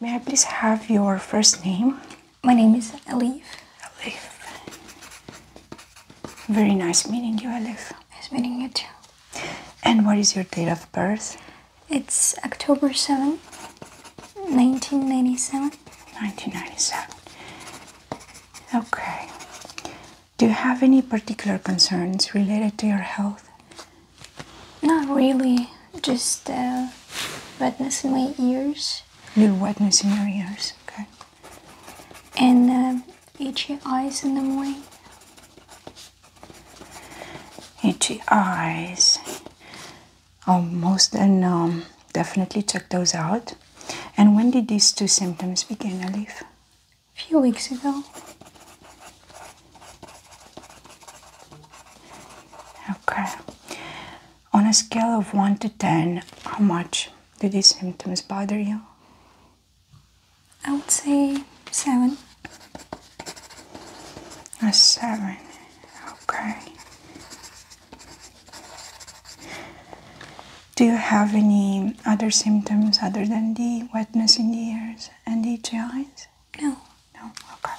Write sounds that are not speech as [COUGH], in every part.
May I please have your first name? My name is Alif. Alif. Very nice meeting you, Alif. Nice meeting you too. And what is your date of birth? It's October 7, 1997. 1997. Okay. Do you have any particular concerns related to your health? Not really, just uh, wetness in my ears. Little wetness in your ears, okay. And uh, itchy eyes in the morning. Itchy eyes. Almost, and um, definitely check those out. And when did these two symptoms begin, Alif? A few weeks ago. Okay. On a scale of 1 to 10, how much do these symptoms bother you? I would say 7. A 7. Okay. Do you have any other symptoms other than the wetness in the ears and the eyes? No. No. Okay.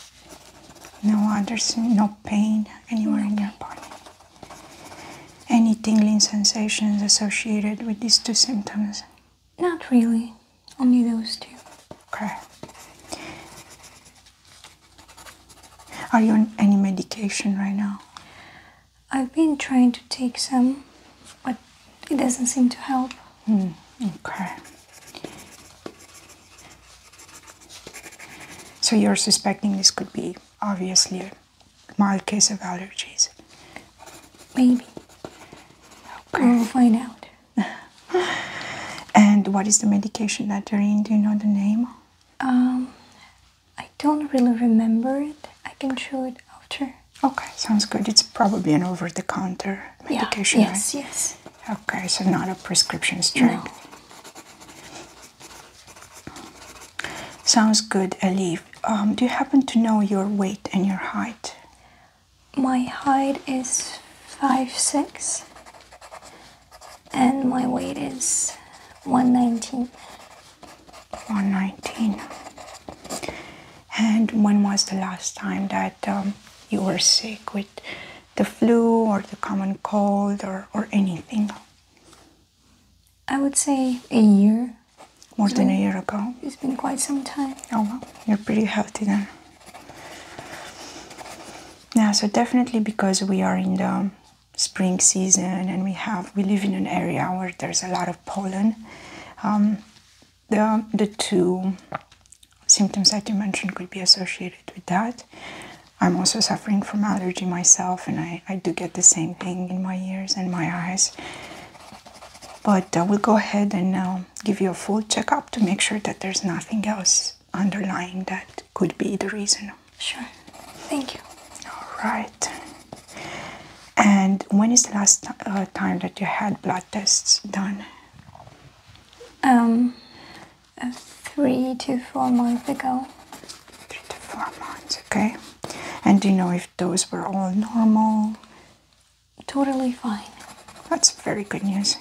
No others. No pain anywhere in your body. Any tingling sensations associated with these two symptoms? Not really. Only those two. Okay. Are you on any medication right now? I've been trying to take some, but it doesn't seem to help. Hmm, okay. So you're suspecting this could be obviously a mild case of allergies? Maybe. Okay. We'll find out. [LAUGHS] and what is the medication that you're in? Do you know the name? Um, I don't really remember it. I can show it after. Okay, sounds good. It's probably an over-the-counter medication, yeah, Yes, yes. Okay, so not a prescription strength. Sounds good, Alif. Um, do you happen to know your weight and your height? My height is five six, and my weight is 119. 119. And when was the last time that um, you were sick with the flu or the common cold or, or anything? I would say a year. More than a year ago. It's been quite some time. Oh, well, you're pretty healthy then. Yeah, so definitely because we are in the spring season and we have we live in an area where there's a lot of pollen. Um, the the two symptoms that you mentioned could be associated with that. I'm also suffering from allergy myself, and I, I do get the same thing in my ears and my eyes. But uh, we'll go ahead and uh, give you a full checkup to make sure that there's nothing else underlying that could be the reason. Sure. Thank you. All right. And when is the last uh, time that you had blood tests done? Um, uh, three to four months ago. Three to four months, okay. And do you know if those were all normal? Totally fine. That's very good news.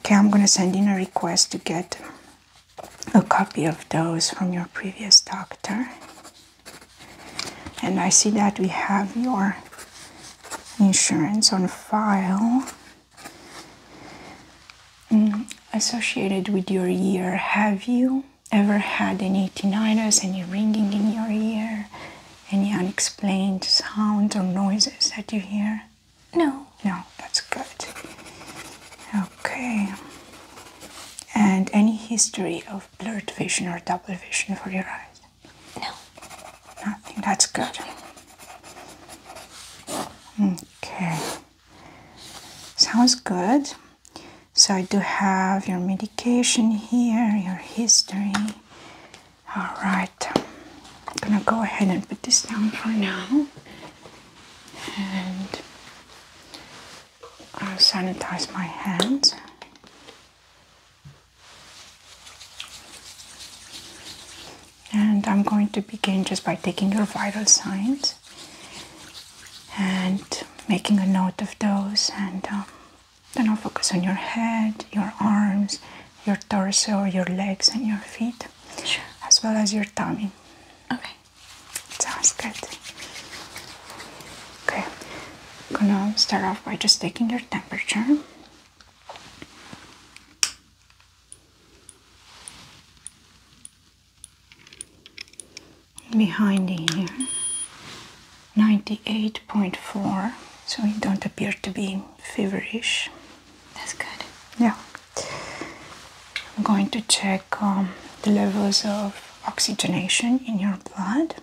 Okay, I'm gonna send in a request to get a copy of those from your previous doctor. And I see that we have your insurance on file. Mm, associated with your ear, have you ever had any tinnitus, any ringing in your ear, any unexplained sounds or noises that you hear? No. No, that's good. Okay. And any history of blurred vision or double vision for your eyes? No. Nothing, that's good. Okay, sounds good. So I do have your medication here, your history. All right, I'm gonna go ahead and put this down for now, and I'll sanitize my hands and I'm going to begin just by taking your vital signs and making a note of those and um, then I'll focus on your head, your arms, your torso, your legs and your feet as well as your tummy. Okay. Sounds good. Okay. I'm gonna start off by just taking your temperature behind the ear 98.4 so you don't appear to be feverish that's good yeah i'm going to check um, the levels of oxygenation in your blood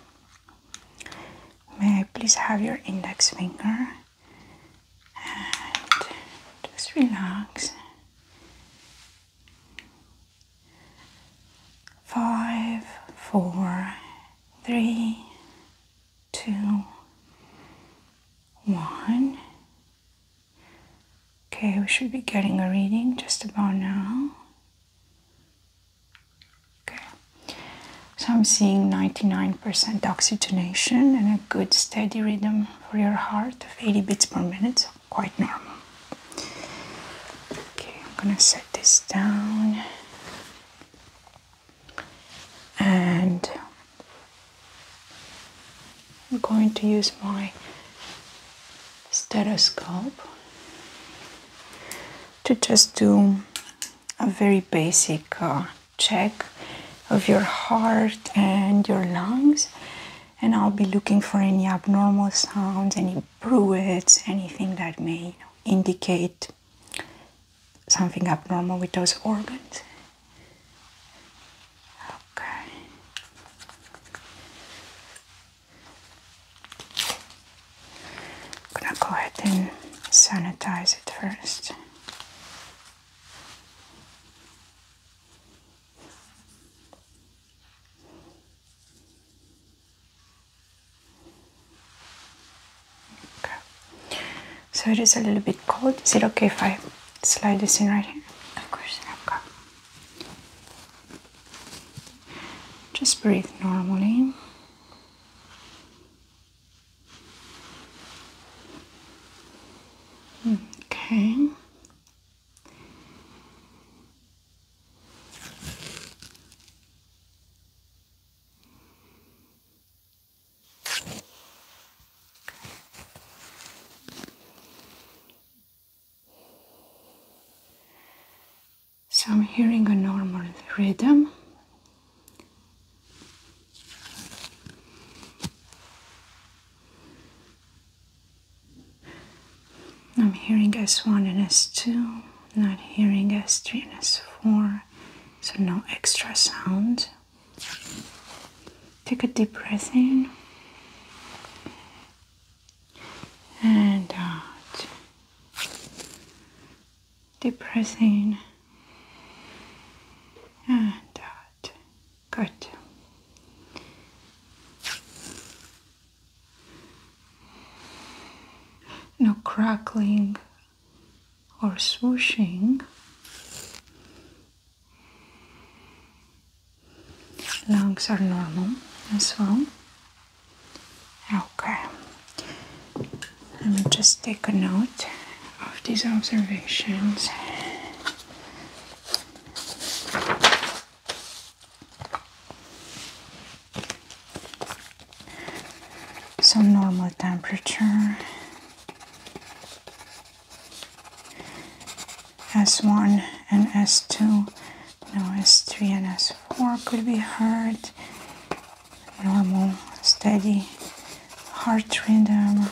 may i please have your index finger and just relax five, four, three, two, one. Okay, we should be getting a reading just about now. Okay, so I'm seeing 99% oxygenation and a good steady rhythm for your heart of 80 beats per minute, quite normal. Okay, I'm gonna set this down and I'm going to use my stethoscope to just do a very basic uh, check of your heart and your lungs. And I'll be looking for any abnormal sounds, any bruits, anything that may indicate something abnormal with those organs. Okay. I'm gonna go ahead and sanitize it first. Okay. So it is a little bit cold. Is it okay if I slide this in right here? Of course. Okay. Just breathe normally. Okay. So I'm hearing a normal rhythm. I'm hearing S1 and S2, not hearing S3 and S4, so no extra sound. Take a deep breath in and out depressing and ah, out. Good. No crackling or swooshing. Lungs are normal as well. Okay. I will just take a note of these observations. So normal temperature S1 and S2, now S3 and S4 could be heard normal, steady heart rhythm,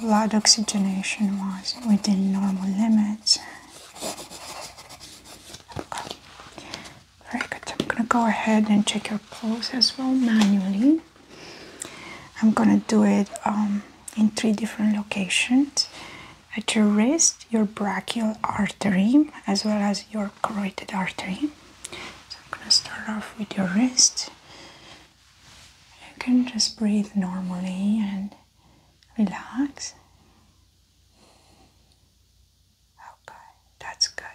blood oxygenation was within normal limits. Very good. I'm gonna go ahead and check your pulse as well manually. I'm gonna do it um, in three different locations at your wrist, your brachial artery, as well as your carotid artery. I'm gonna start off with your wrist. You can just breathe normally and relax. Okay, that's good.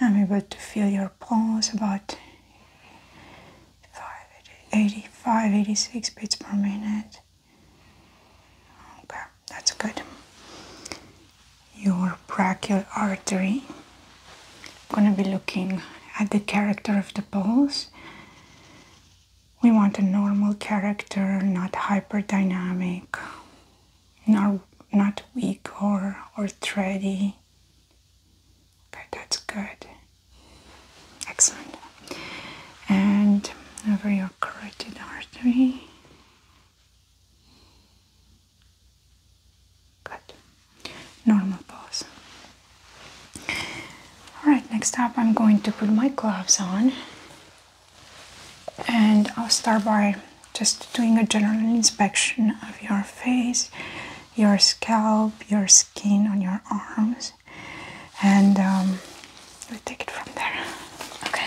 I'm able to feel your pulse about 85, 86 beats per minute. Okay. That's good. Your brachial artery. I'm going to be looking at the character of the pulse. We want a normal character, not hyperdynamic, not, weak or, or thready. Okay, that's good. Excellent. And over your carotid artery. Good. Normal pose. Alright, next up I'm going to put my gloves on and I'll start by just doing a general inspection of your face, your scalp, your skin on your arms, and um, we'll take it from there. Okay.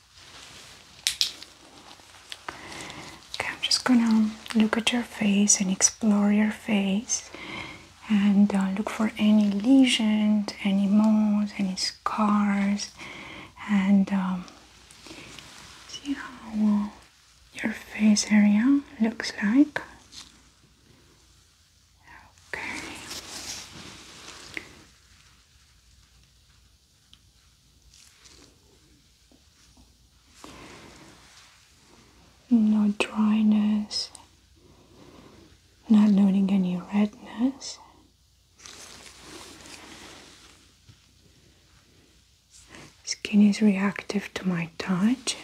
Okay, I'm just gonna look at your face and explore your face and uh, look for any lesions, any moles, any scars, and um, see how your face area looks like. Okay. No dryness, not noting any redness. Skin is reactive to my touch.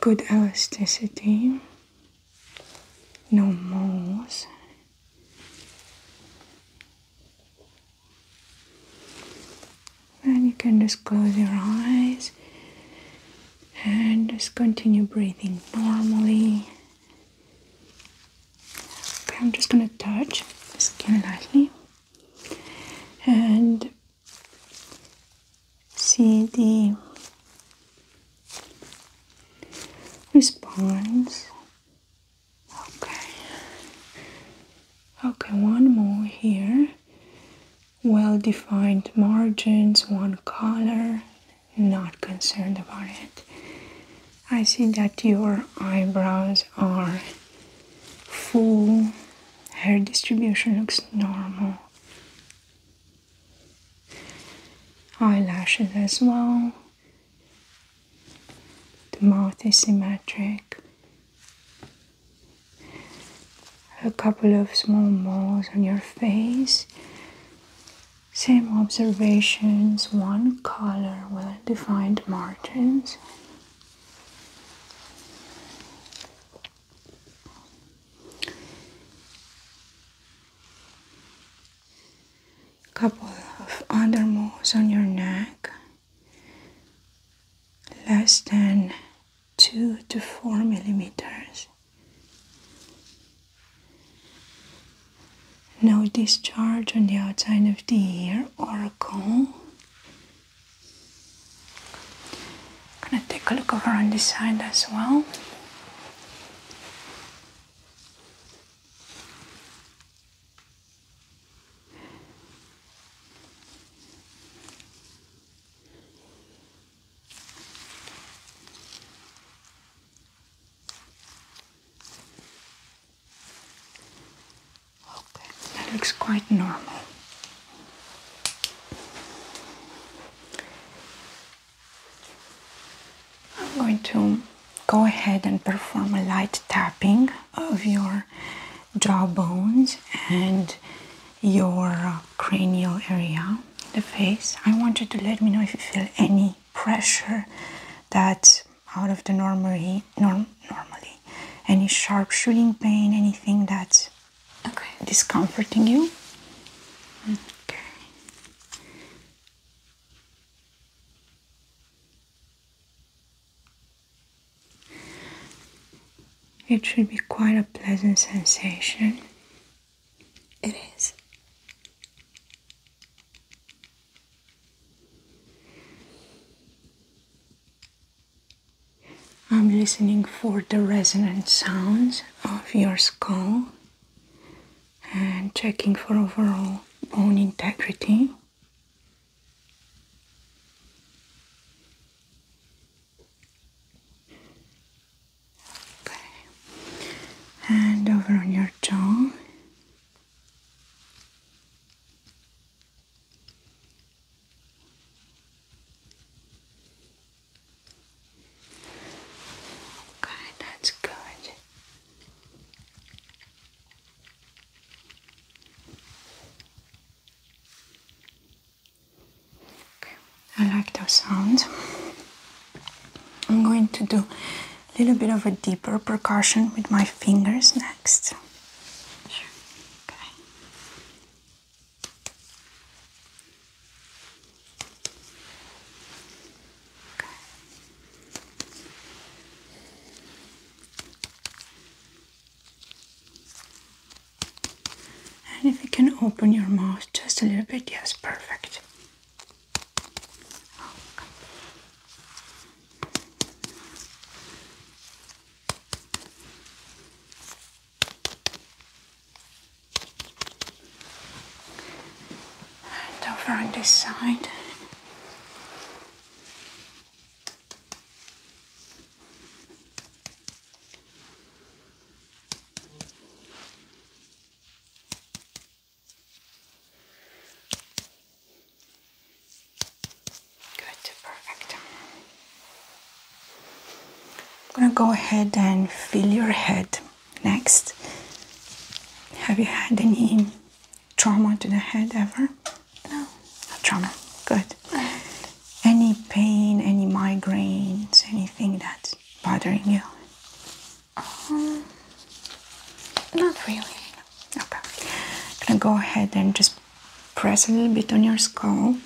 Good elasticity, no moles. And you can just close your eyes and just continue breathing normally. Okay, I'm just gonna touch the skin lightly and see the response. Okay. Okay, one more here. Well defined margins, one color, not concerned about it. I see that your eyebrows are full, hair distribution looks normal eyelashes as well. The mouth is symmetric. A couple of small moles on your face. Same observations, one color, well defined margins couple of other on your neck less than two to four millimeters no discharge on the outside of the ear or cone I'm gonna take a look over on this side as well Okay, that looks quite normal. I'm going to go ahead and perform a light tapping of your jawbones and your uh, cranial area, the face. I want you to let me know if you feel any pressure that's out of the normal, normally, any sharp shooting pain, anything that's discomforting you. Mm. Okay. It should be quite a pleasant sensation. It is. I'm listening for the resonant sounds of your skull and checking for overall bone integrity. Okay. And over on your jaw. Okay, that's good. Okay, I like those sounds. I'm going to do a little bit of a deeper percussion with my fingers next. Sure. Okay. And if you can open your mouth just a little bit, yes, perfect over on this side. Good, perfect. I'm gonna go ahead and fill your head Next, have you had any trauma to the head ever? No, no trauma. Good. Any pain, any migraines, anything that's bothering you? Um, not really. Okay. I'm gonna go ahead and just press a little bit on your skull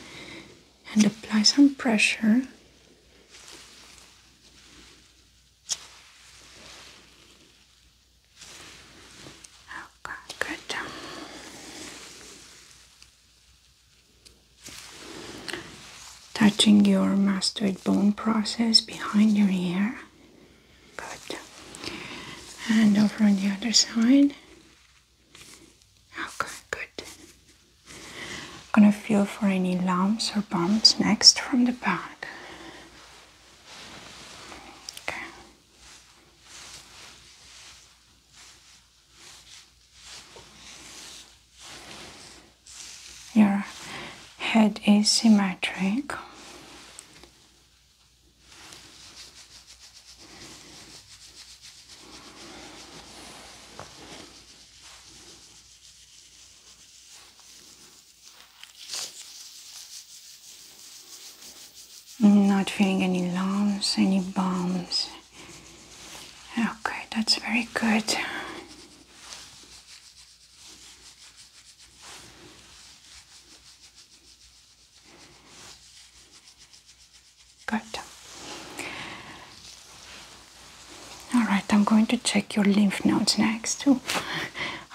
and apply some pressure. Okay, good. Touching your mastoid bone process behind your ear. Good. And over on the other side. Okay, good gonna feel for any lumps or bumps next from the back. Your head is symmetric. Not feeling any lumps, any bumps. Okay, that's very good. Good. All right, I'm going to check your lymph nodes next. too.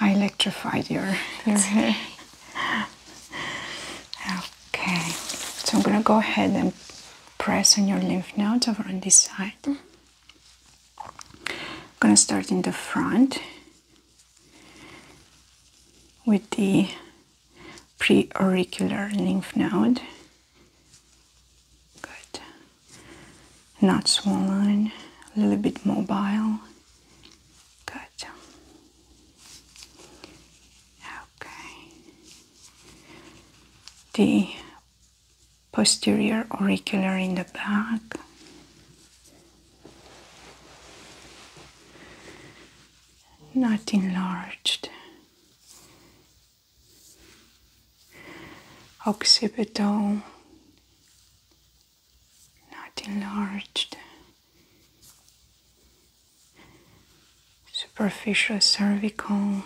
I [LAUGHS] electrified your, your Okay, so I'm gonna go ahead and press on your lymph nodes over on this side. Mm-hmm. I'm gonna start in the front with the preauricular lymph node. Good. Not swollen, a little bit mobile. Good. Okay. The posterior auricular in the back. Not enlarged occipital, not enlarged, superficial cervical,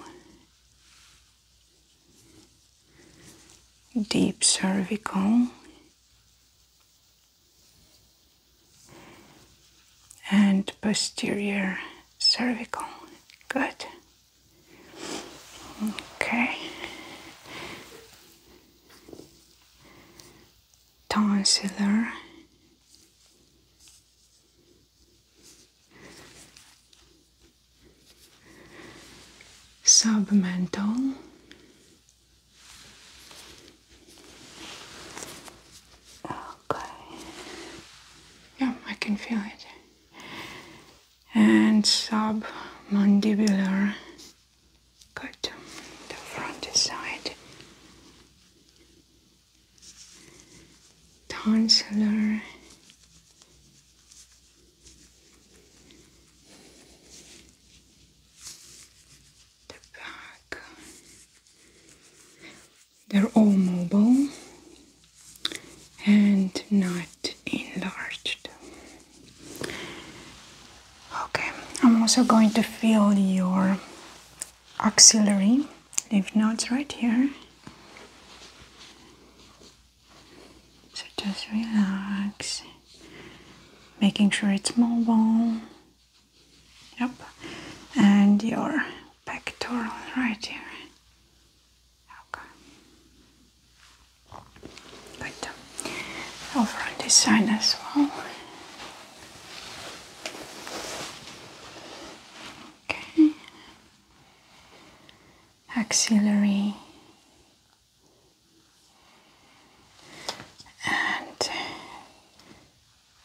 deep cervical. and posterior cervical. Good. Okay. Tonsillar. Submental. Okay. Yeah, I can feel it and submandibular. cut The front side. Tonsillar. The back. They're all mobile and not enlarged. Okay, I'm also going to feel your auxiliary lymph nodes right here. So just relax, making sure it's mobile. Yep, and your pectoral right here. Okay. Good. Over on this side as well. Okay. Axillary and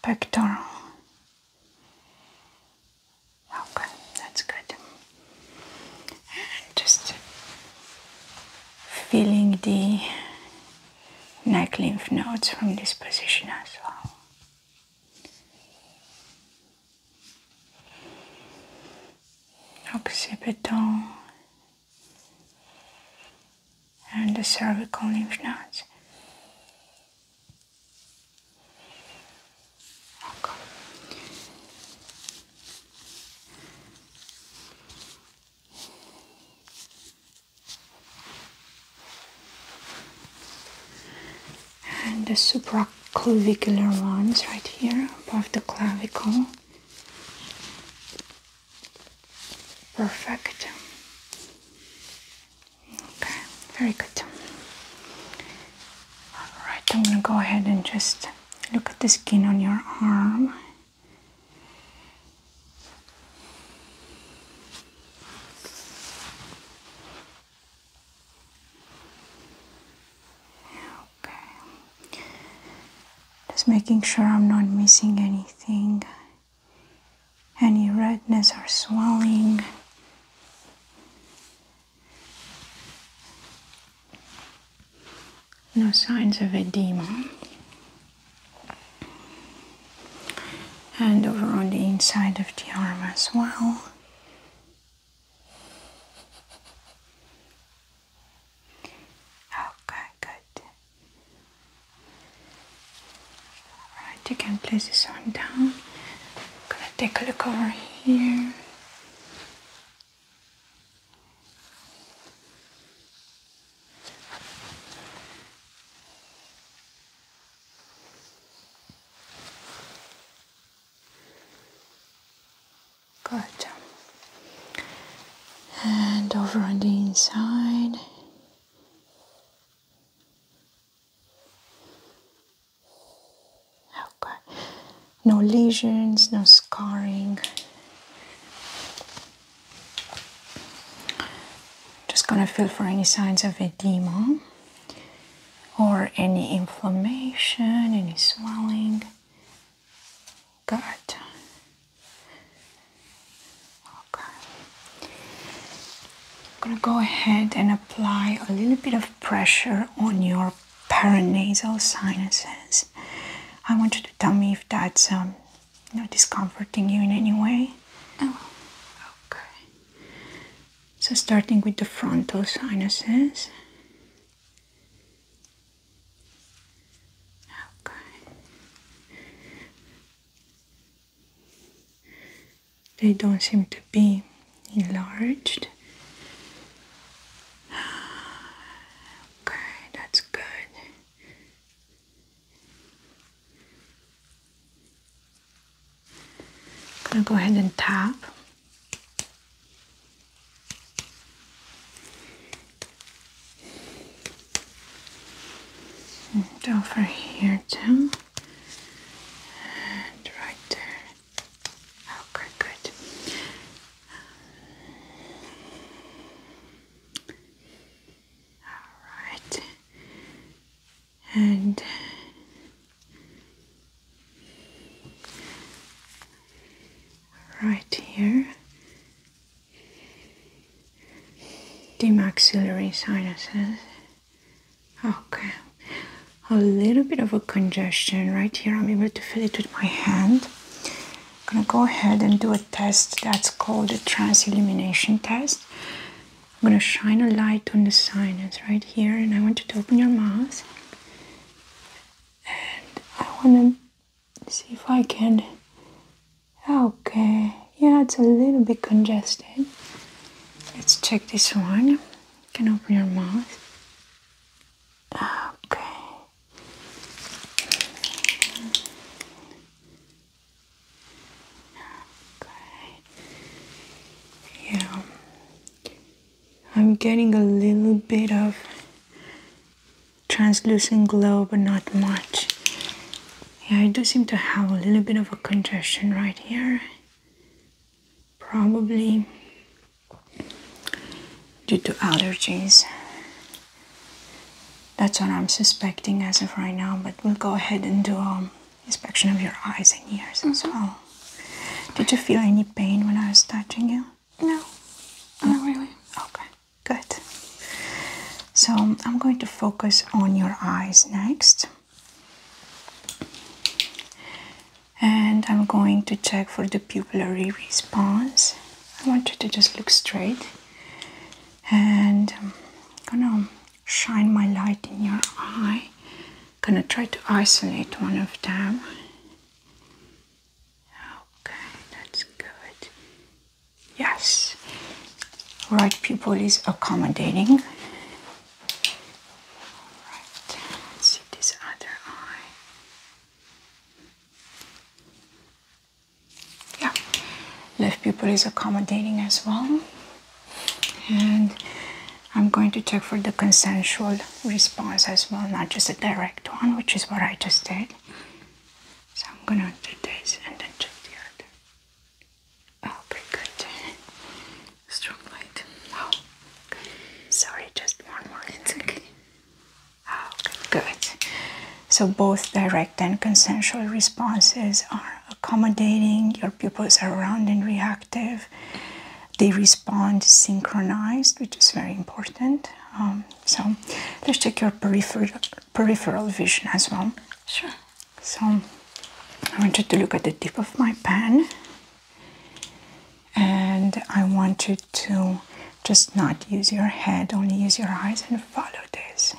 pectoral Okay, that's good. just feeling the neck lymph nodes from this position as well. Occipital and the cervical lymph nodes ecco and the supraclavicular ones right here above the clavicle perfect okay very good all right i'm going to go ahead and just Look at the skin on your arm. Okay. Just making sure I'm not missing anything. Any redness or swelling. No signs of edema. And over on the inside of the arm as well. Okay, good. Alright, you can place this one down. I'm gonna take a look over here. Good. And over on the inside. Okay. No lesions, no scarring. Just gonna feel for any signs of edema or any inflammation, any swelling. Good. Okay. I'm gonna go ahead and apply a little bit of pressure on your paranasal sinuses. I want you to tell me if that's um, you discomforting you in any way. Oh, okay. So, starting with the frontal sinuses. Okay. They don't seem to be enlarged. [SIGHS] Okay, that's good. I'm gonna go ahead and tap. And over here too. And right there. Okay, good. all right, and right here, the maxillary sinuses. Okay a little bit of a congestion right here. I'm able to feel it with my hand. I'm gonna go ahead and do a test that's called the transillumination test. I'm gonna shine a light on the sinus right here, and I want you to open your mouth. And I wanna see if I can. Okay, yeah, it's a little bit congested. Let's check this one. You can open your mouth. Okay. Okay. Yeah. I'm getting a little bit of translucent glow, but not much. Yeah, I do seem to have a little bit of a congestion right here probably due to allergies. That's what I'm suspecting as of right now, but we'll go ahead and do an um, inspection of your eyes and ears mm -hmm. as mm-hmm. well. Did you feel any pain when I was touching you? No, not really. Okay, good. So um, I'm going to focus on your eyes next and I'm going to check for the pupillary response. I want you to just look straight and I'm gonna shine my light in your eye. Gonna try to isolate one of them. Okay, that's good. Yes, right pupil is accommodating. All see this other eye. Yeah, left pupil is accommodating as well. And I'm going to check for the consensual response as well, not just a direct one, which is what I just did. So I'm gonna do this and then check the other. Oh, pretty good. Strong light. Oh, sorry, just one more. It's good. So both direct and consensual responses are accommodating. Your pupils are round and reactive. They respond synchronized, which is very important. Um, so let's check your peripheral peripheral vision as well. Sure. So I want you to look at the tip of my pen and I want you to just not use your head, only use your eyes and follow this.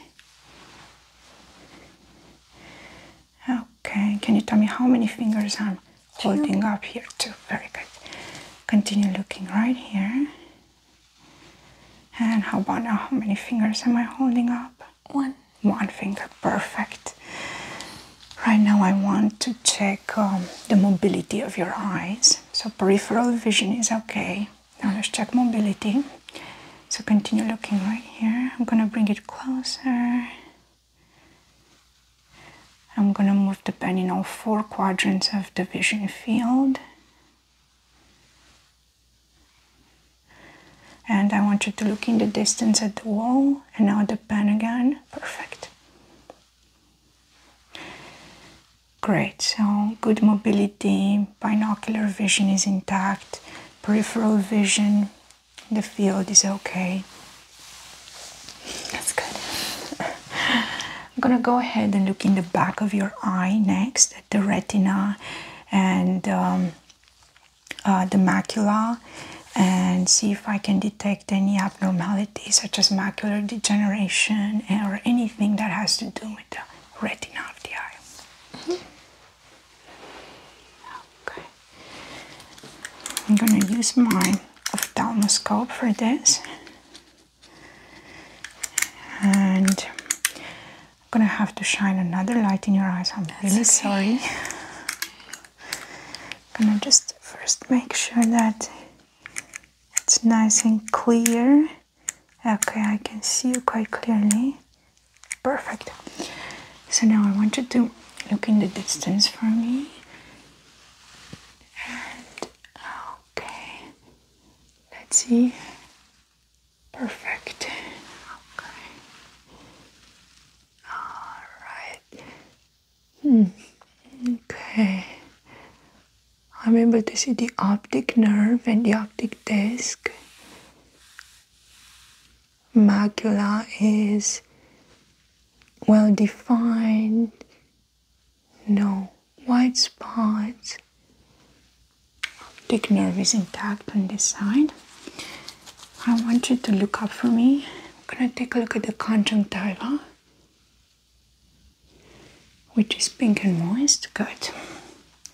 Okay, can you tell me how many fingers I'm holding up here? Two, very good. Continue looking right here. And how about now? How many fingers am I holding up? One. One finger, perfect. Right now, I want to check um, the mobility of your eyes. So, peripheral vision is okay. Now, let's check mobility. So, continue looking right here. I'm gonna bring it closer. I'm gonna move the pen in all four quadrants of the vision field. And I want you to look in the distance at the wall and now the pen again. Perfect. Great, so good mobility, binocular vision is intact, peripheral vision, the field is okay. That's good. [LAUGHS] I'm gonna go ahead and look in the back of your eye next at the retina and um, uh, the macula and see if I can detect any abnormalities, such as macular degeneration or anything that has to do with the retina of the eye. Mm-hmm. Okay. I'm gonna use my ophthalmoscope for this. And I'm gonna have to shine another light in your eyes. I'm really sorry. I'm [LAUGHS] gonna just first make sure that it's nice and clear. Okay, I can see you quite clearly. Perfect. So now I want you to look in the distance for me. okay, let's see. Perfect. Okay. All right. Okay. I'm able to see the optic nerve and the optic disc. Macula is well defined. No white spots. Optic nerve is intact on this side. I want you to look up for me. I'm gonna take a look at the conjunctiva which is pink and moist. Good.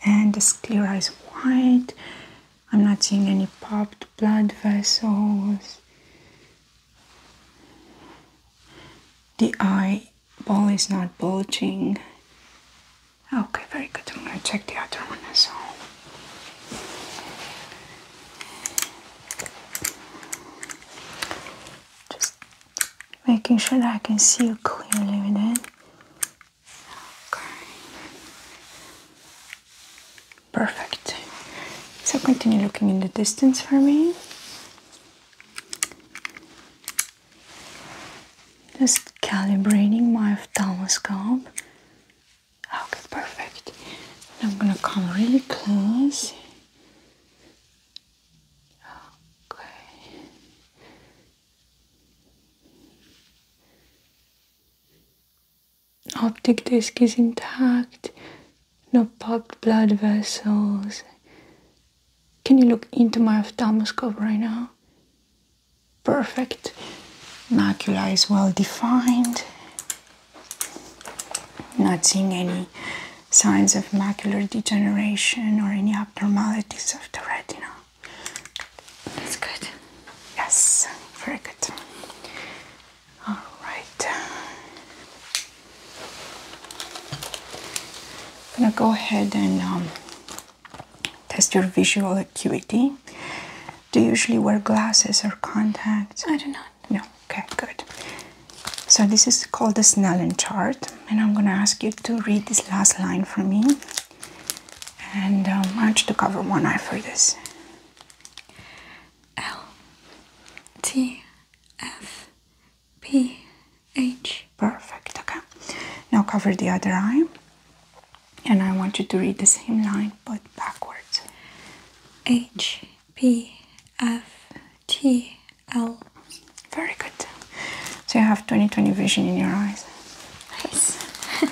And the sclera is white. I'm not seeing any popped blood vessels. The eyeball is not bulging. Okay, very good. I'm going to check the other one as well. Just making sure that I can see you clearly with Okay. Perfect. So continue looking in the distance for me. Just calibrating my ophthalmoscope. Okay, perfect. I'm gonna come really close. Okay. Optic disc is intact, no popped blood vessels. Can you look into my ophthalmoscope right now? Perfect. Macula is well defined. Not seeing any signs of macular degeneration or any abnormalities of the retina. That's good. Yes, very good. All right. I'm gonna go ahead and um, test your visual acuity. Do you usually wear glasses or contacts? I do not. No, okay, good. So this is called the Snellen chart, and I'm gonna ask you to read this last line for me. And um, I want you to cover one eye for this. L T F P H. Perfect. Okay. Now cover the other eye, and I want you to read the same line but backwards. H P F T L. Very good. So you have 20/20 vision in your eyes. Nice. I'm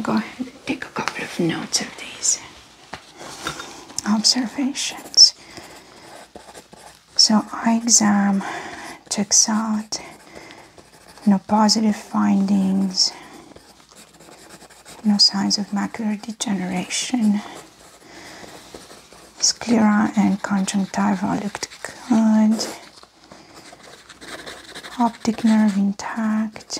[LAUGHS] gonna go ahead and take a couple of notes of these observations. So eye exam checks out. No positive findings. No signs of macular degeneration. Sclera and conjunctiva looked good. Optic nerve intact.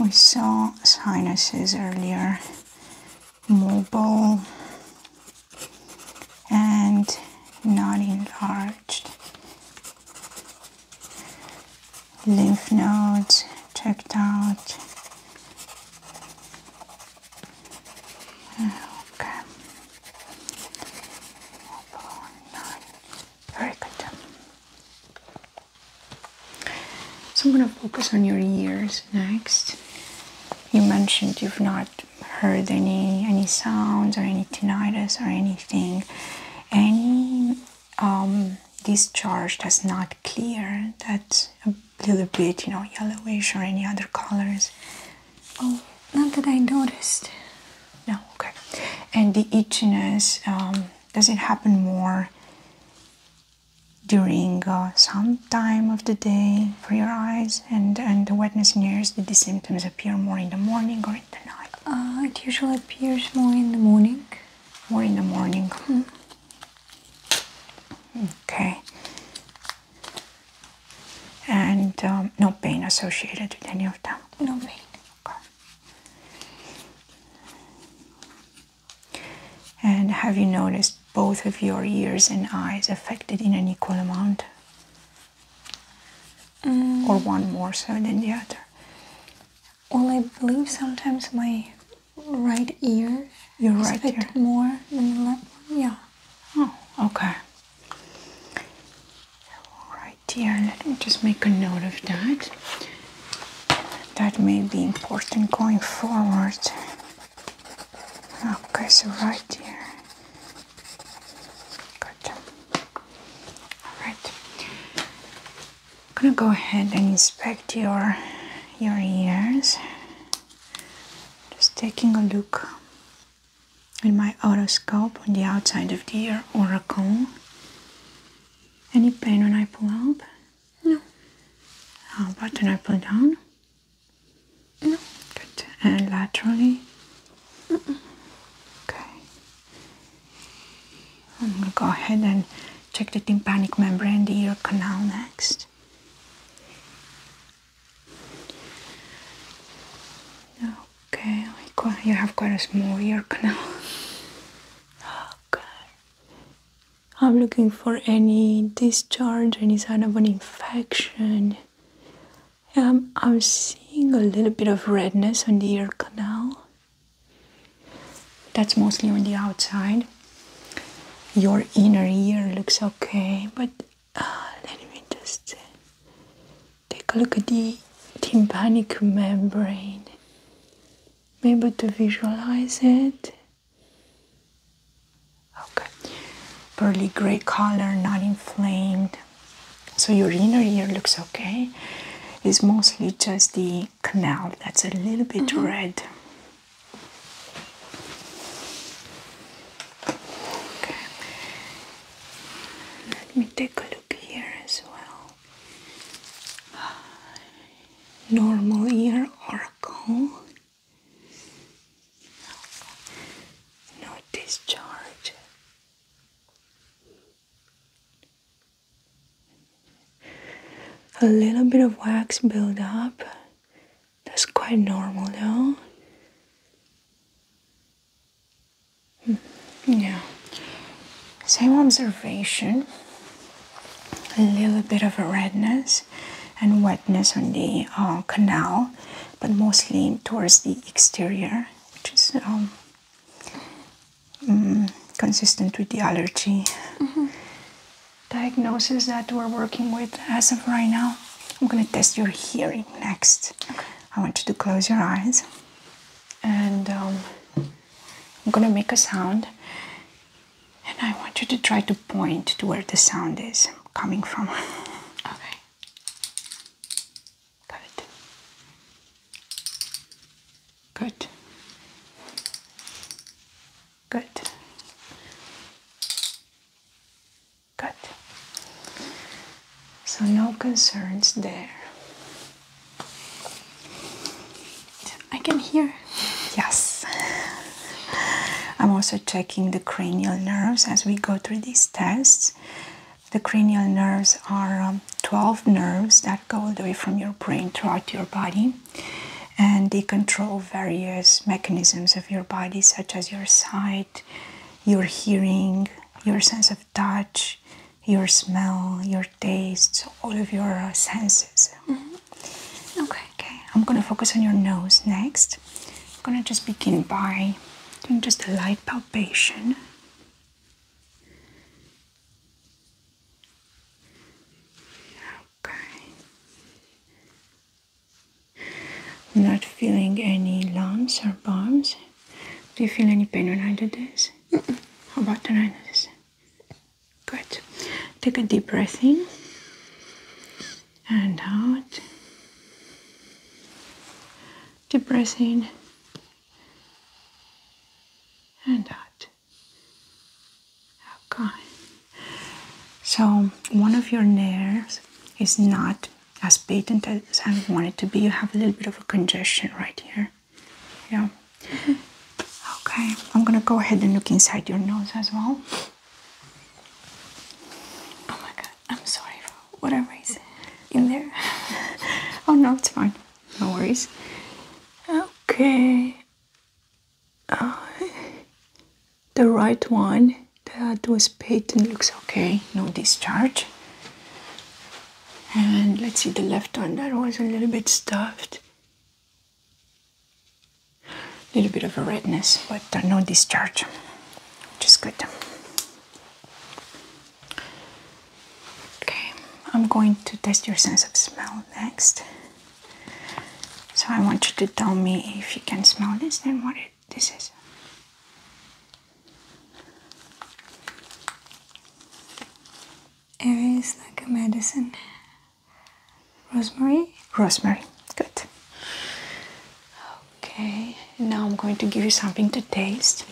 We saw sinuses earlier, mobile, and not enlarged lymph nodes checked out okay very good so I'm gonna focus on your ears next you mentioned you've not heard any any sounds or any tinnitus or anything, any um, discharge that's not clear, that's a little bit you know yellowish or any other colors. Oh, not that I noticed. No, okay. And the itchiness um, does it happen more during uh, some time of the day for your eyes and, and the wetness in ears, did the symptoms appear more in the morning or in the night? Uh, it usually appears more in the morning. More in the morning. Mm-hmm. Okay. And um, no pain associated with any of them? No pain. Okay. And have you noticed both of your ears and eyes affected in an equal amount? Mm. Or one more so than the other? Well, I believe sometimes my right ear Your is right a more than the left one. Yeah. Oh, okay. Right dear. Let me just make a note of that. That may be important going forward. Okay, so right here. Good. Alright. I'm gonna go ahead and inspect your your ears. Just taking a look with my otoscope on the outside of the ear oracle. Any pain when I pull out? No. How about when I pull down? No. Good. And laterally? Okay. I'm going to go ahead and check the tympanic membrane, the ear canal next. Okay, you have quite a small ear canal. Okay. [GASPS] I'm looking for any discharge, any sign of an infection. Um, I'm seeing a little bit of redness on the ear canal. That's mostly on the outside. Your inner ear looks okay, but uh, let me just take a look at the tympanic membrane. Maybe to visualize it. Okay, pearly gray color, not inflamed. So your inner ear looks okay. It's mostly just the canal that's a little bit mm-hmm. red. Okay. Let me take a look here as well. Normal ear oracle. No, discharge. A little bit of wax build up. That's quite normal though. Hmm, yeah. Same observation. A little bit of redness and wetness on the uh, canal but mostly towards the exterior, which is um, mm, consistent with the allergy mm-hmm. diagnosis that we're working with as of right now. I'm going to test your hearing next. I want you to close your eyes and um, I'm going to make a sound. And I want you to try to point to where the sound is coming from. Okay. Good. Good. Good. Good. So no concerns there. I can hear. Yes. I'm also checking the cranial nerves as we go through these tests. The cranial nerves are um, 12 nerves that go all the way from your brain throughout your body and they control various mechanisms of your body such as your sight, your hearing, your sense of touch, your smell, your taste, all of your uh, senses. Mm-hmm. Okay. Okay. I'm going to focus on your nose next. I'm gonna just begin by doing just a light palpation. Okay. not feeling any lumps or bumps. Do you feel any pain when I do this? How about when I do this? Good. Take a deep breath in and out. Deep breath in and out. Okay. So one of your nerves is not as patent as I want it to be. You have a little bit of a congestion right here. Yeah. Okay. I'm gonna go ahead and look inside your nose as well. Oh my god. I'm sorry for whatever is in there. [LAUGHS] oh no, it's fine. No worries. Okay. Uh, the right one that was patent looks okay. No discharge. And let's see the left one that was a little bit stuffed. A little bit of a redness, but no discharge, which is good. Okay, I'm going to test your sense of smell next. So I want you to tell me if you can smell this and what this is. It is like a medicine. Rosemary? Rosemary, good. Okay, now I'm going to give you something to taste.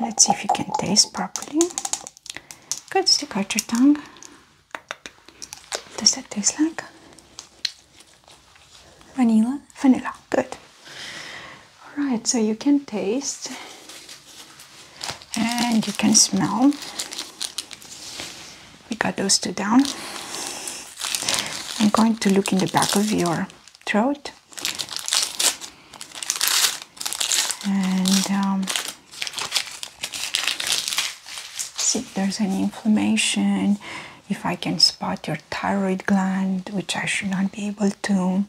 Let's see if you can taste properly. Good, stick out your tongue. does that taste like? Vanilla? Vanilla, good. Alright, so you can taste and you can smell we got those two down. I'm going to look in the back of your throat and um, see if there's any inflammation, if I can spot your thyroid gland, which I should not be able to,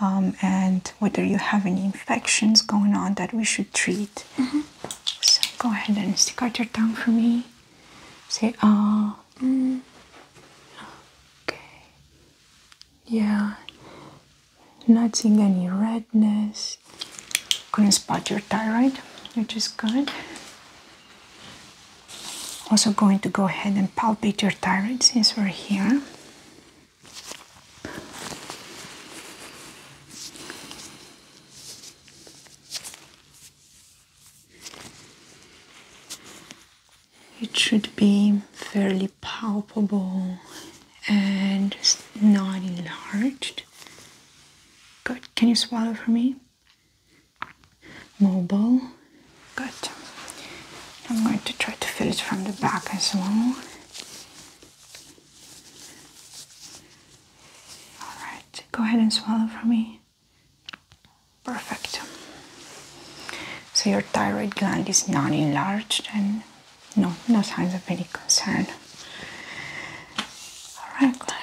um, and whether you have any infections going on that we should treat. Mm-hmm. So go ahead and stick out your tongue for me. Say ah. Oh. Mm. Okay. Yeah. Not seeing any redness. Couldn't spot your thyroid, which is good. Also going to go ahead and palpate your thyroid since we're here. It should be fairly palpable and not enlarged. Good. Can you swallow for me? Mobile. Good. I'm going to try to fill it from the back as well. Alright, go ahead and swallow for me. Perfect. So your thyroid gland is not enlarged and no, no signs of any concern. Alright, glad.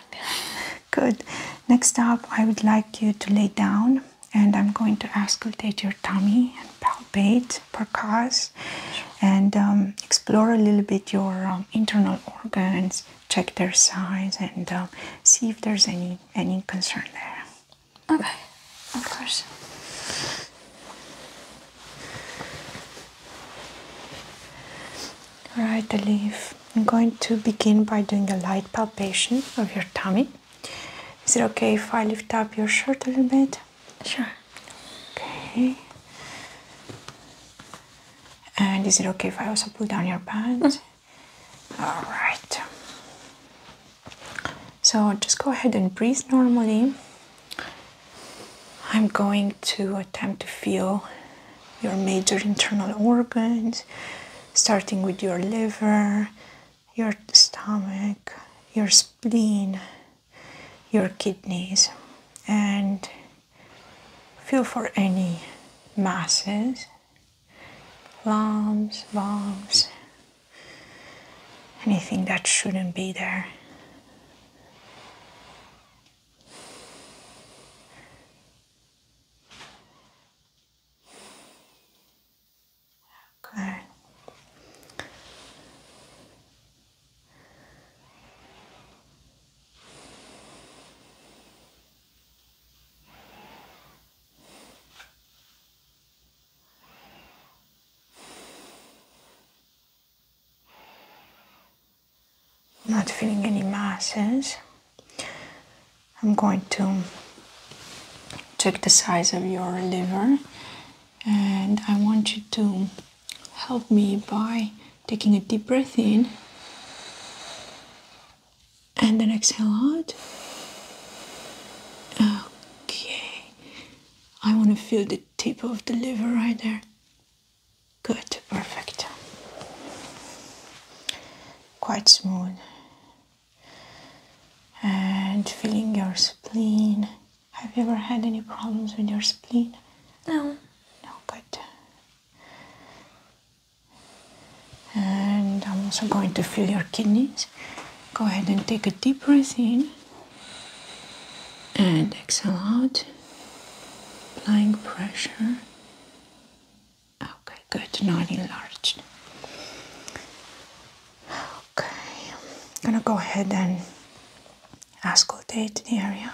Good. Next up, I would like you to lay down and I'm going to auscultate your tummy and palpate, percuss, and um, explore a little bit your um, internal organs, check their size and um, see if there's any any concern there. Okay, of course. All right, the I'm going to begin by doing a light palpation of your tummy. Is it okay if I lift up your shirt a little bit? Sure. Okay. And is it okay if I also pull down your pants? All right. So just go ahead and breathe normally. I'm going to attempt to feel your major internal organs, starting with your liver, your stomach, your spleen, your kidneys, and Feel for any masses, lumps, bumps, anything that shouldn't be there. Good. Not feeling any masses. I'm going to check the size of your liver and I want you to help me by taking a deep breath in and then exhale out. Okay, I want to feel the tip of the liver right there. Good, perfect. Quite smooth. And feeling your spleen. Have you ever had any problems with your spleen? No. No, good. And I'm also going to feel your kidneys. Go ahead and take a deep breath in and exhale out, applying pressure. Okay, good, not enlarged. Okay, I'm gonna go ahead and auscultate the area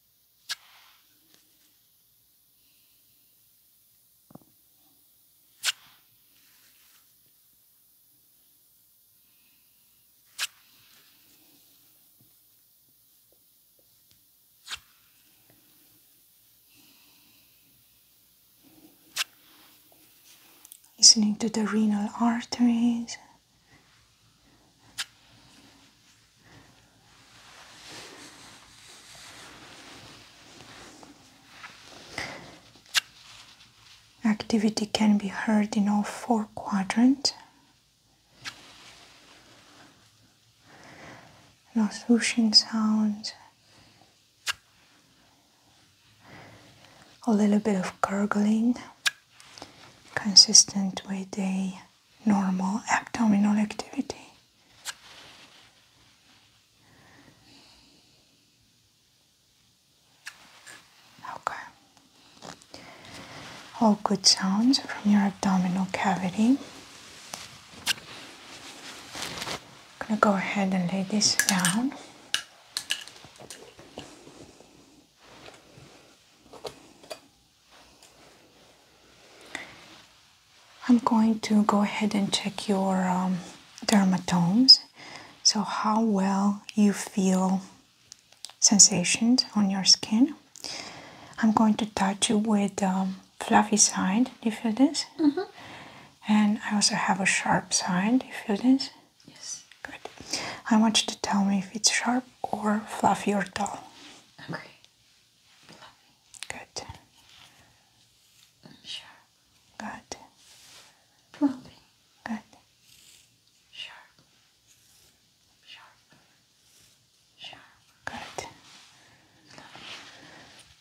Listening to the renal arteries Activity can be heard in all four quadrants. No swooshing sounds. A little bit of gurgling, consistent with a normal abdominal activity. Okay. All good sounds from your abdominal cavity. I'm gonna go ahead and lay this down. I'm going to go ahead and check your um, dermatomes. So, how well you feel sensations on your skin. I'm going to touch you with um, fluffy side. Do you feel this? -hmm. And I also have a sharp side. Do you feel this? Yes. Good. I want you to tell me if it's sharp or fluffy or dull. Okay. Good. Mm, sure. Good. Moving. Good. Sharp. Sharp. Sharp. Good.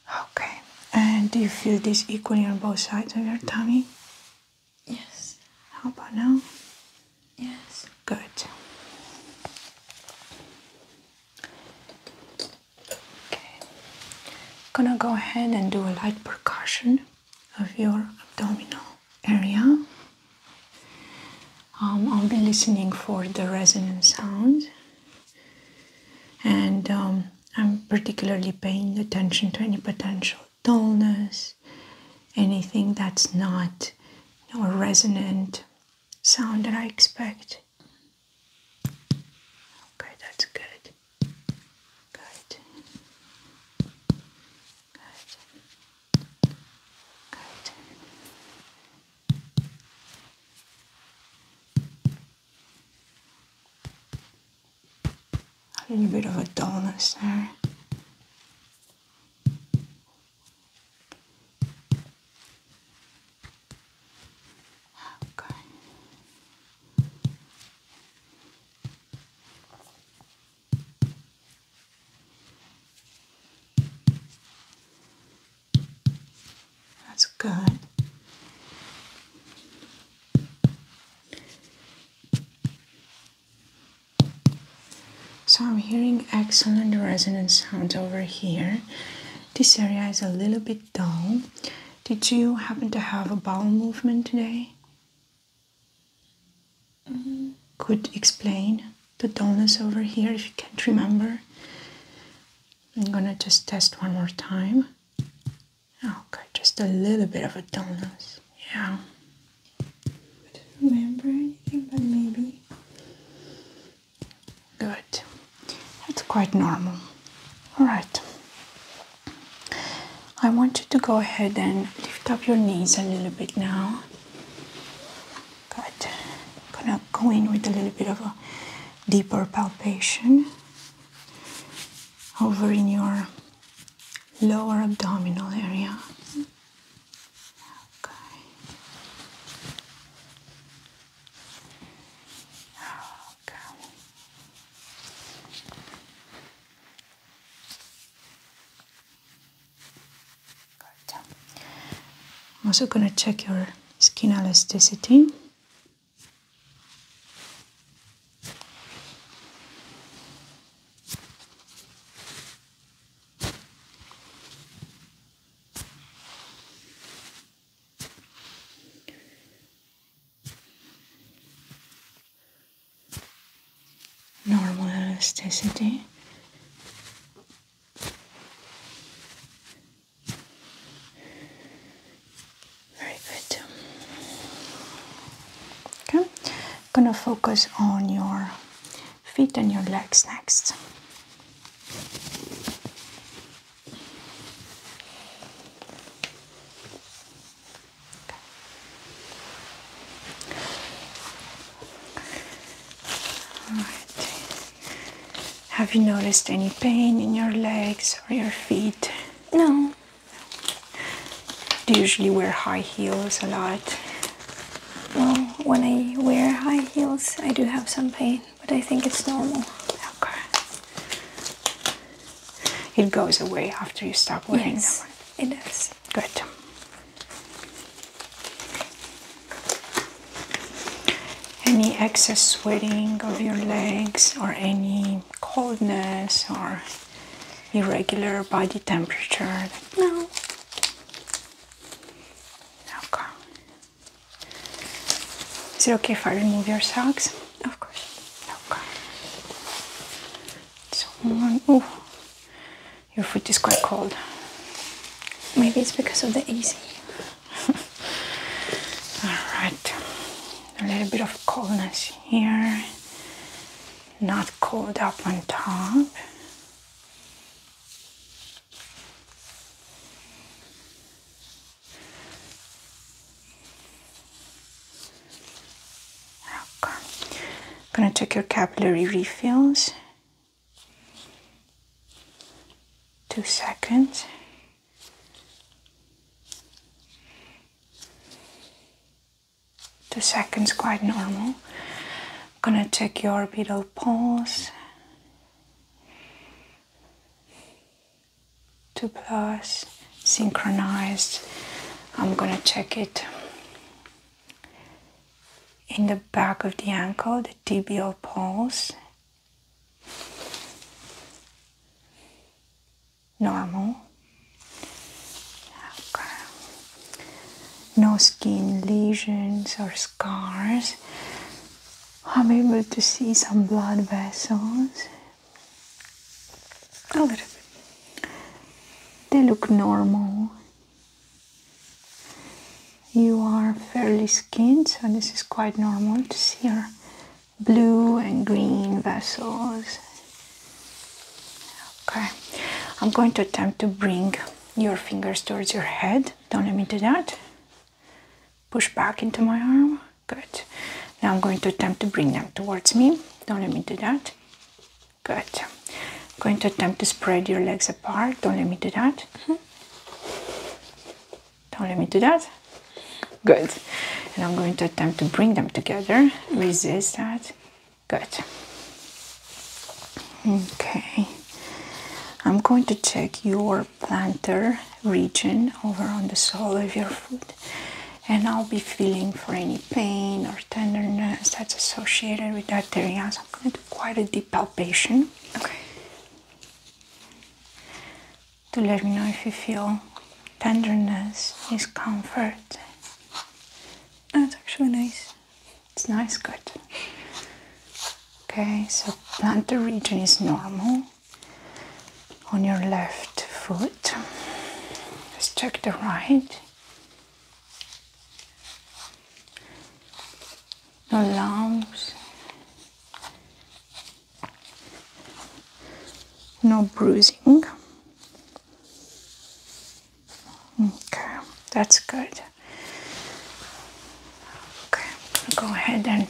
Okay. And do you feel this equally on both sides of your mm. tummy? Yes. How about now? Yes. Good. Okay, I'm gonna go ahead and do a light percussion of your abdominal area. Um, I'll be listening for the resonant sound, and um, I'm particularly paying attention to any potential dullness, anything that's not a resonant sound that I expect. Okay, that's good. Good. Good. Good. A little bit of a dullness there. Okay. That's good. So I'm hearing excellent resonant sound over here. This area is a little bit dull. Did you happen to have a bowel movement today? Mm-hmm. Could explain the dullness over here if you can't remember. I'm gonna just test one more time. Okay, just a little bit of a dullness. Yeah. I don't remember anything, but maybe Good. That's quite normal. All right. I want you to go ahead and lift up your knees a little bit now. Good. I'm gonna go in with a little bit of a deeper palpation over in your lower abdominal area. Okay. I'm also going to check your skin elasticity normal elasticity. Very good. Okay, gonna focus on your feet and your legs next. Have you noticed any pain in your legs or your feet? No. Do usually wear high heels a lot? Well, when I wear high heels, I do have some pain but I think it's normal. Okay. It goes away after you stop wearing yes, that It does. Good. Any excess sweating of your legs or any coldness or irregular body temperature? No. Okay. Is it okay if I remove your socks? Of course. Okay. So one. your foot is quite cold. Maybe it's because of the AC. [LAUGHS] All right. A little bit of coldness here. Not cold up on top. I'm gonna check your capillary refills. Two seconds. Two seconds, quite normal. I'm gonna check your orbital pulse two plus synchronized I'm gonna check it in the back of the ankle the tibial pulse normal okay. no skin lesions or scars I'm able to see some blood vessels. A little bit. They look normal. You are fairly skinned, so this is quite normal to see your blue and green vessels. Okay, I'm going to attempt to bring your fingers towards your head. Don't let me do that. Push back into my arm. Good. Now I'm going to attempt to bring them towards me. Don't let me do that. Good. going to attempt to spread your legs apart. Don't let me do that. Don't let me do that. Good. And I'm going to attempt to bring them together. Resist that. Good. Okay. I'm going to check your plantar region over on the sole of your foot and I'll be feeling for any pain or tenderness that's associated with that area. So I'm going to do quite a deep palpation. Okay. To let me know if you feel tenderness, discomfort. That's actually nice. It's nice, good. Okay, so plantar region is normal on your left foot. Let's check the right. No lumps, no bruising. Okay, that's good good. Okay, go ahead and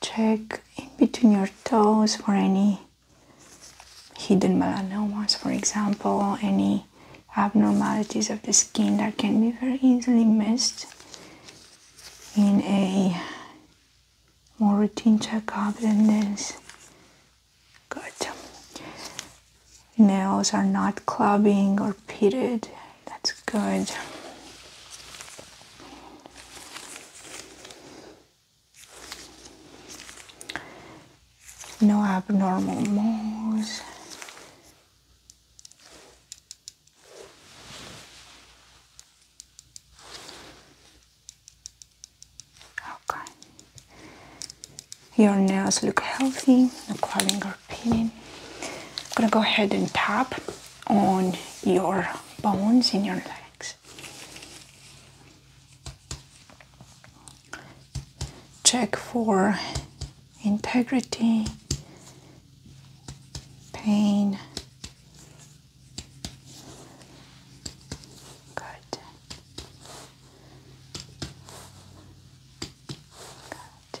check in between your toes for any hidden melanomas, for example, any abnormalities of the skin that can be very easily missed in a more routine checkup than this. Good. Nails are not clubbing or pitted. That's good. No abnormal moles. Okay. Your nails look healthy, no curling or peeling. I'm gonna go ahead and tap on your bones in your legs. Check for integrity, pain. Good. Good.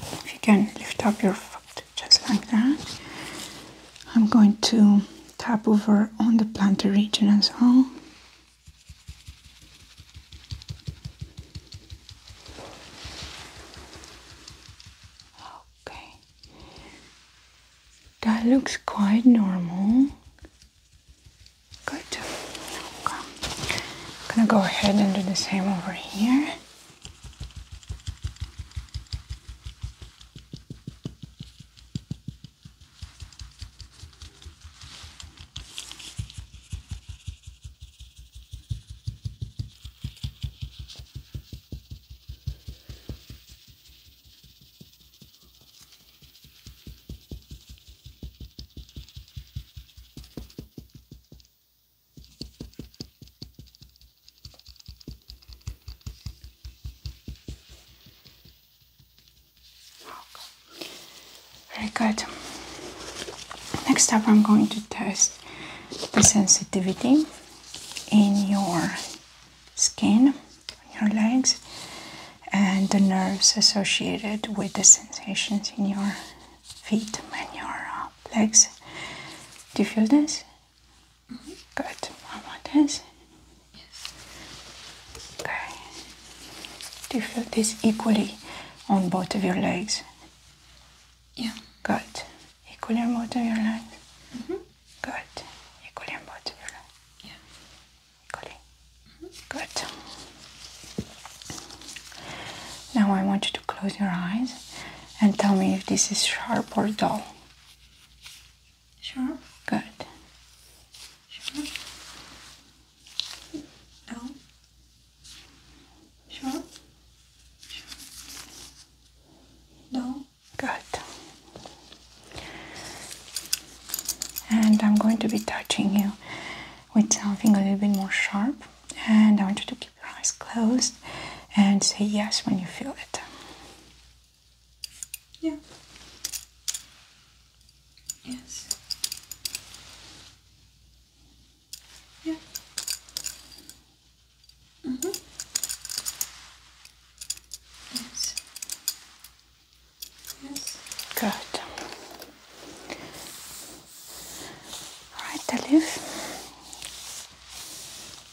If you can lift up your foot just like that, I'm going to tap over on the plantar region as well. Okay, that looks quite normal. Good. I'm gonna go ahead and do the same over here. Very good. Next up, I'm going to test the sensitivity in your skin, your legs, and the nerves associated with the sensations in your feet and your uh, legs. Do you feel this? Good. How about this? Yes. Okay. Do you feel this equally on both of your legs? Yeah. Good. Equally on both of your legs? -hmm. Good. Equally on both of your legs? Yeah. Equally? Good. Now I want you to close your eyes and tell me if this is sharp or dull. Sharp. Good. Sharp. Dull. Sharp. Sharp. Dull. Good. And I'm going to be touching you with something a little bit more sharp. And I want you to keep your eyes closed and say yes when you feel it. Yeah. Yes. Yeah. Mm-hmm. Yes. Yes. Good. Alright, the leaf.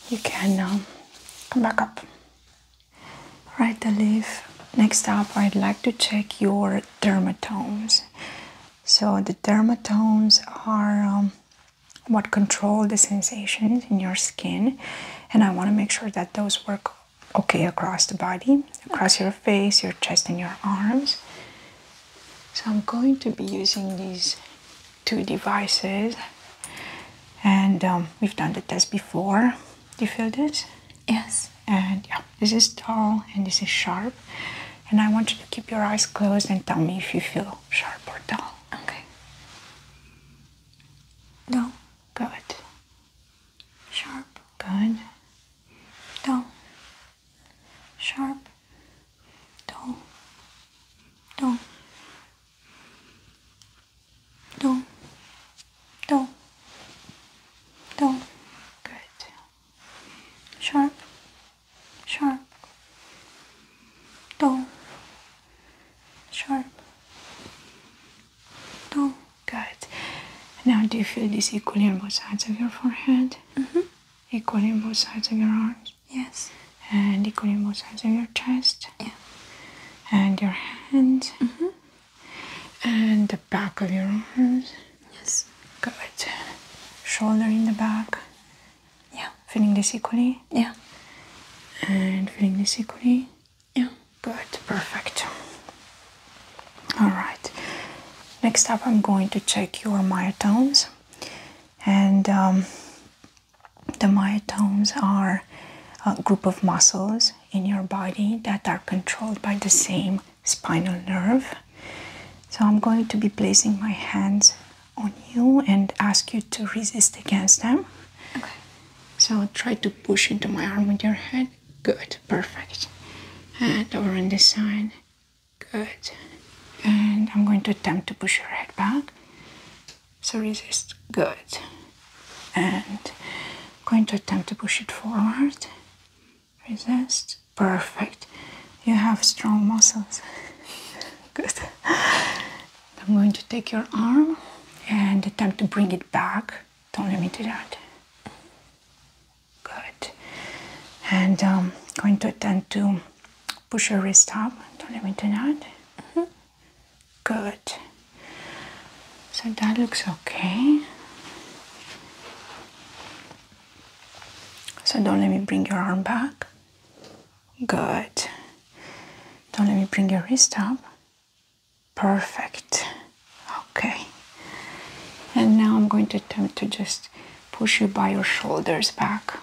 You can um, come back up. Alright, the leaf. Next up, I'd like to check your dermatomes. So the dermatomes are um, what control the sensations in your skin, and I want to make sure that those work okay across the body, across your face, your chest, and your arms. So I'm going to be using these two devices and um, we've done the test before. Do you feel this? Yes. And yeah, this is dull, and this is sharp. And I want you to keep your eyes closed and tell me if you feel sharp or dull. Okay. Dull. Good. Sharp. Good. Dull sharp, dull, dull, dull, dull, dull. Good. Sharp, sharp, dull, sharp, dull. Good. Now, do you feel this equally on both sides of your forehead? -hmm. Equal both sides of your arms. Yes. And equal both sides of your chest. Yeah. And your hands. Mm-hmm. And the back of your arms. Yes. Good. Shoulder in the back. Yeah. Feeling this equally? Yeah. And feeling this equally? Yeah. Good. Perfect. All right. Next up, I'm going to check your myotones, and um, the myotones are a group of muscles in your body that are controlled by the same spinal nerve. So, I'm going to be placing my hands on you and ask you to resist against them. Okay. So, try to push into my arm with your head. Good, perfect. And over on this side. Good. And I'm going to attempt to push your head back. So resist. Good. And I'm going to attempt to push it forward. Resist. Perfect. You have strong muscles. [LAUGHS] Good. I'm going to take your arm and attempt to bring it back. Don't let me do that. Good. And I'm um, going to attempt to push your wrist up. Don't let me do that. Mm-hmm. Good. So that looks okay. So don't let me bring your arm back. Good. Don't let me bring your wrist up. Perfect. Okay. And now I'm going to attempt to just push you by your shoulders back.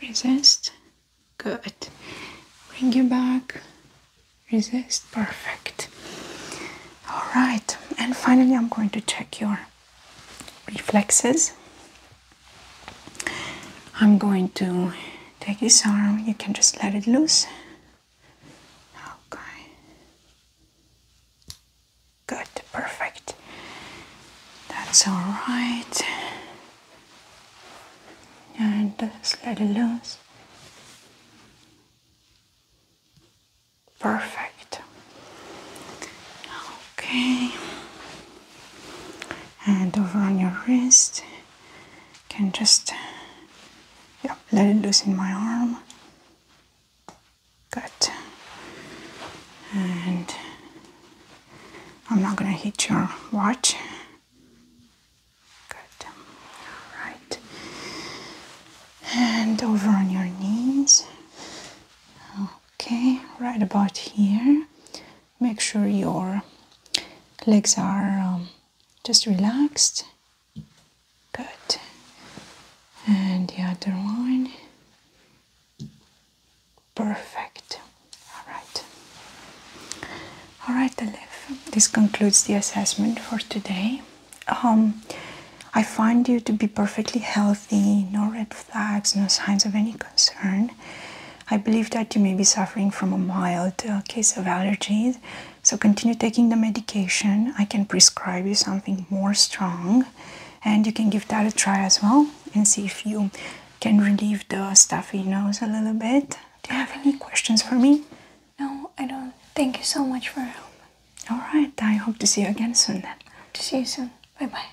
Resist. Good. Bring you back. Resist. Perfect. All right. And finally, I'm going to check your reflexes. I'm going to take this arm. You can just let it loose. Okay. Good, perfect. That's all right. And let it loose. Perfect. Okay. And over on your wrist, can just let it loose in my arm. Good. And I'm not gonna hit your watch. Good. All right. And over on your knees. Okay, right about here. Make sure your legs are um, just relaxed. Good. And the other one. Perfect. All right. All right, Aleph. This concludes the assessment for today. Um, I find you to be perfectly healthy, no red flags, no signs of any concern. I believe that you may be suffering from a mild uh, case of allergies, so continue taking the medication. I can prescribe you something more strong and you can give that a try as well and see if you can relieve the stuffy nose a little bit. Do you have any questions for me? No, I don't. Thank you so much for your help. All right, I hope to see you again soon then. to see you soon. Bye bye.